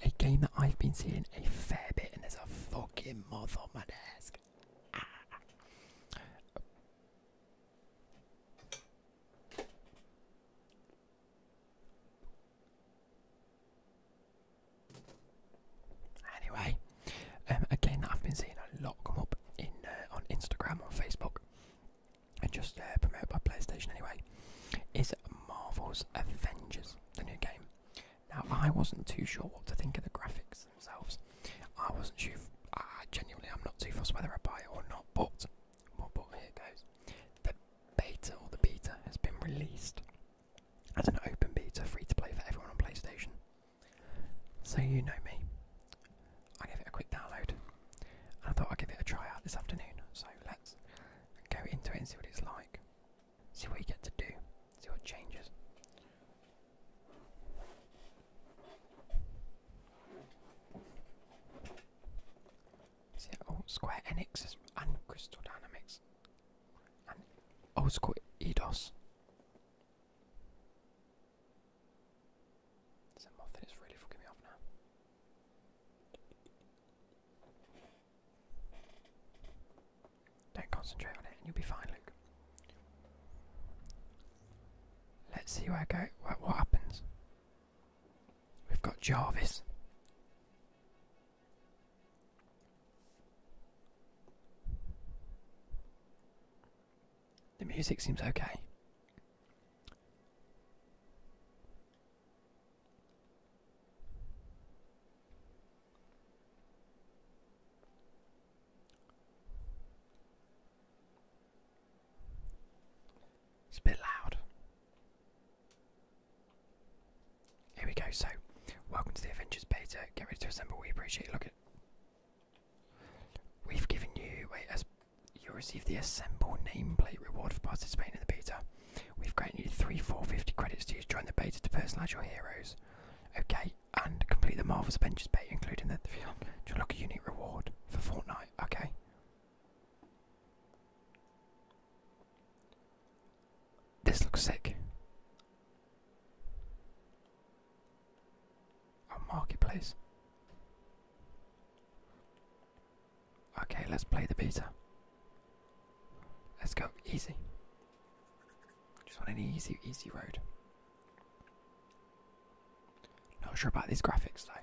A game that I've been seeing a fair bit, and there's a fucking moth on my desk. Ah. Anyway, um, again, I've been seeing a lot come up uh, on Instagram, or Facebook, and just uh, promoted by PlayStation. Anyway, is Marvel's Avengers the new game? Now, I wasn't too sure what to think of the graphics themselves. I wasn't sure. I genuinely, I'm not too fussed whether I buy it or not. But, but, but here goes. The beta or the beta has been released, as an open beta free to play for everyone on PlayStation. So you know me. I give it a quick download and I thought I'd give it a try out this afternoon. So let's go into it and see what it's like. See what you get to do, see what changes. See, oh, Square Enix and Crystal Dynamics and oh, it's called Edos. It's a muffin. really fucking me off now. Don't concentrate on it, and you'll be fine, Luke. Let's see where I go. what happens? We've got Jarvis. The music seems okay. It's a bit loud. Here we go. So, welcome to the Avengers beta. Get ready to assemble. We appreciate it. Look at. We've given you. Wait, as you receive the assemble nameplate reward for participating in the beta. We've granted you three, four, fifty credits to use Join the beta to personalise your heroes. Okay, and complete the Marvel's Avengers beta, including the to look a unique reward for Fortnite. Okay. This looks sick. marketplace. Okay, let's play the beta. Let's go easy. Just want an easy, easy road. Not sure about these graphics though.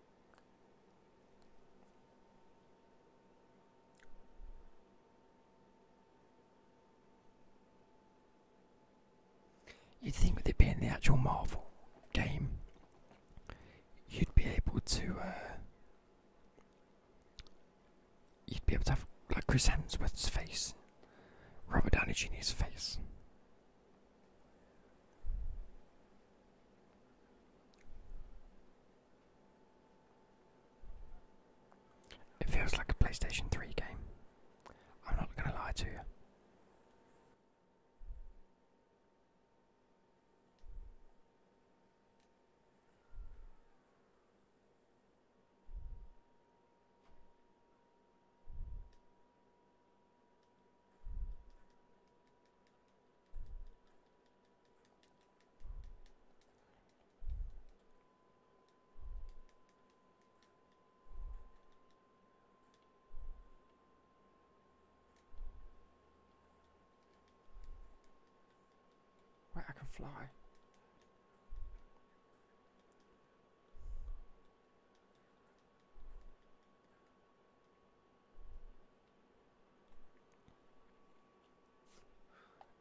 You'd think that it being the actual Marvel game, you'd be able to, uh, you'd be able to have like Chris Hemsworth's face, Robert Downey Jr.'s face. It feels like a PlayStation 3 game. I'm not going to lie to you. Wait, I can fly.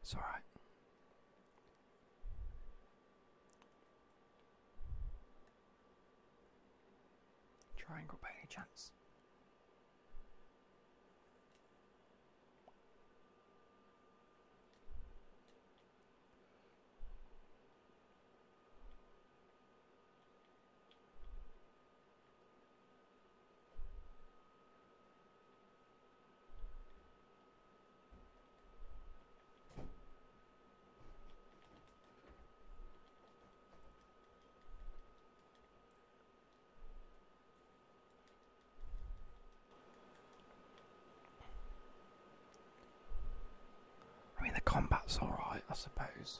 It's all right. Triangle by any chance? I mean, the combat's alright, I suppose.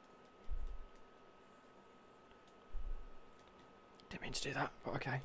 Didn't mean to do that, but okay.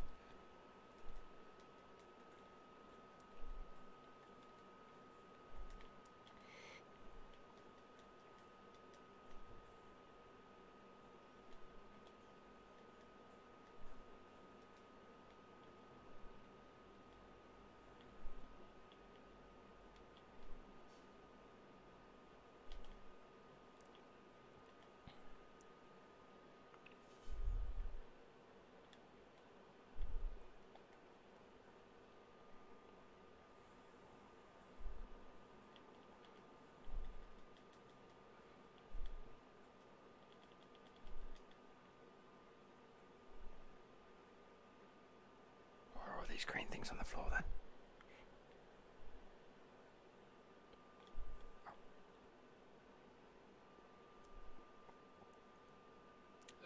Where are these green things on the floor then?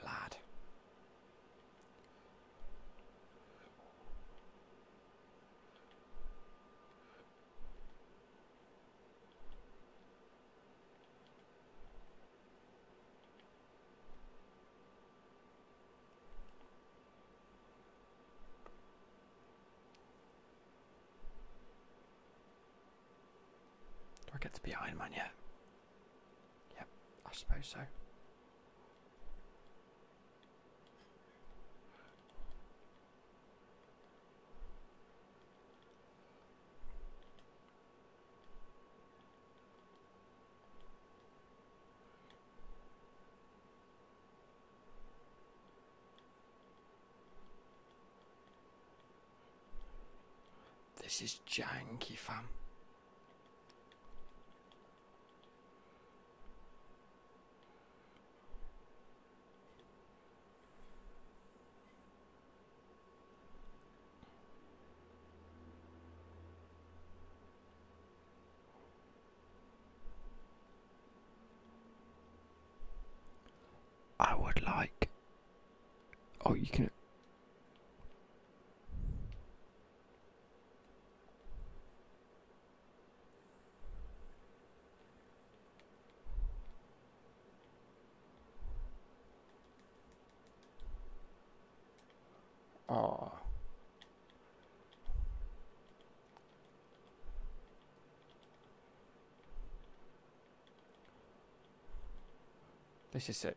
Lad. Do I get to be Iron Man yet? Yep, I suppose so. This is janky, fam. I would like. Oh, you can. Oh. This is it.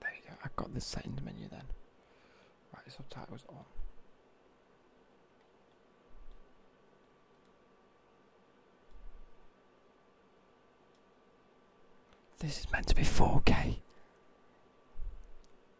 There you go, I've got the settings menu then. Right, subtitles on. This is meant to be 4K.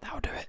That'll do it.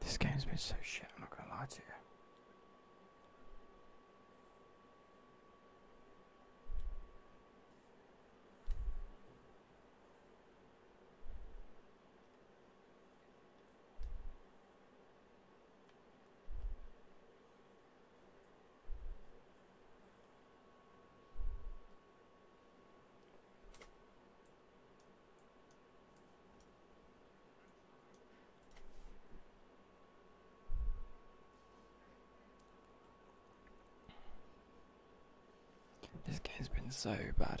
This game's been so shit, I'm not gonna lie to you. This game's been so bad.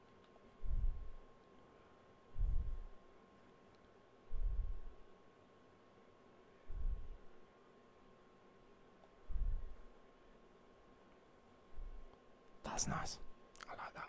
That's nice. I like that.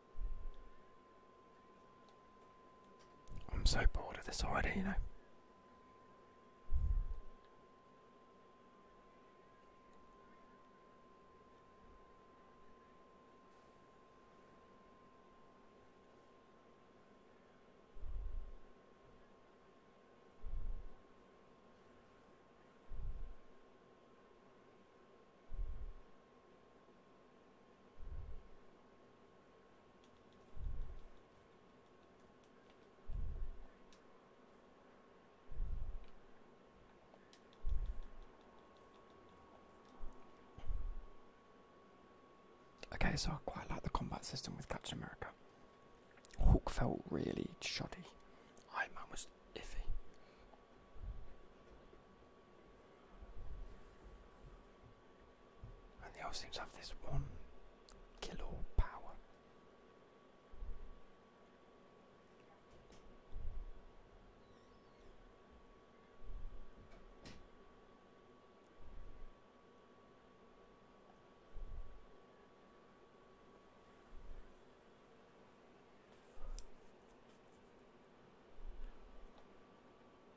I'm so bored of this already, you know. Okay, so I quite like the combat system with Captain America. Hulk felt really shoddy. Iron Man was iffy. And they all seem to have this one killer power.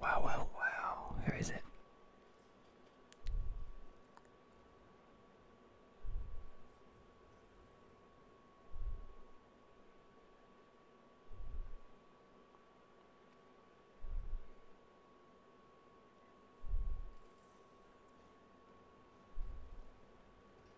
Wow, wow, wow. Who is it?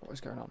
What is going on?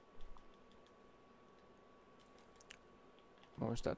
What was that?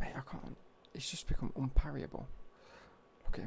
Hey, I can't. It's just become unparryable. Okay.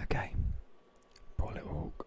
Okay, poor hawk.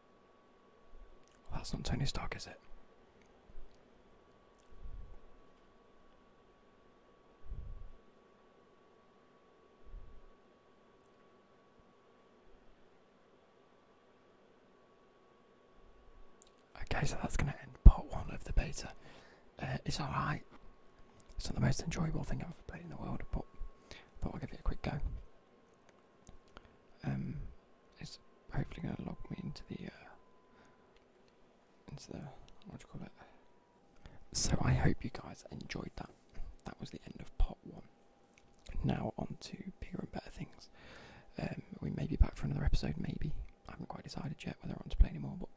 that's not Tony Stark, is it? Okay, so that's going to end part one of the beta. Uh, it's alright. It's not the most enjoyable thing I've ever played in the world, but thought I'll give it a quick go. Um, it's hopefully going to log me into the uh, into the what do you call it? So I hope you guys enjoyed that. That was the end of part one. Now on to bigger and better things. Um, we may be back for another episode, maybe. I haven't quite decided yet whether I want to play anymore, but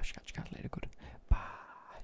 I shall catch you guys later. Good. Bye.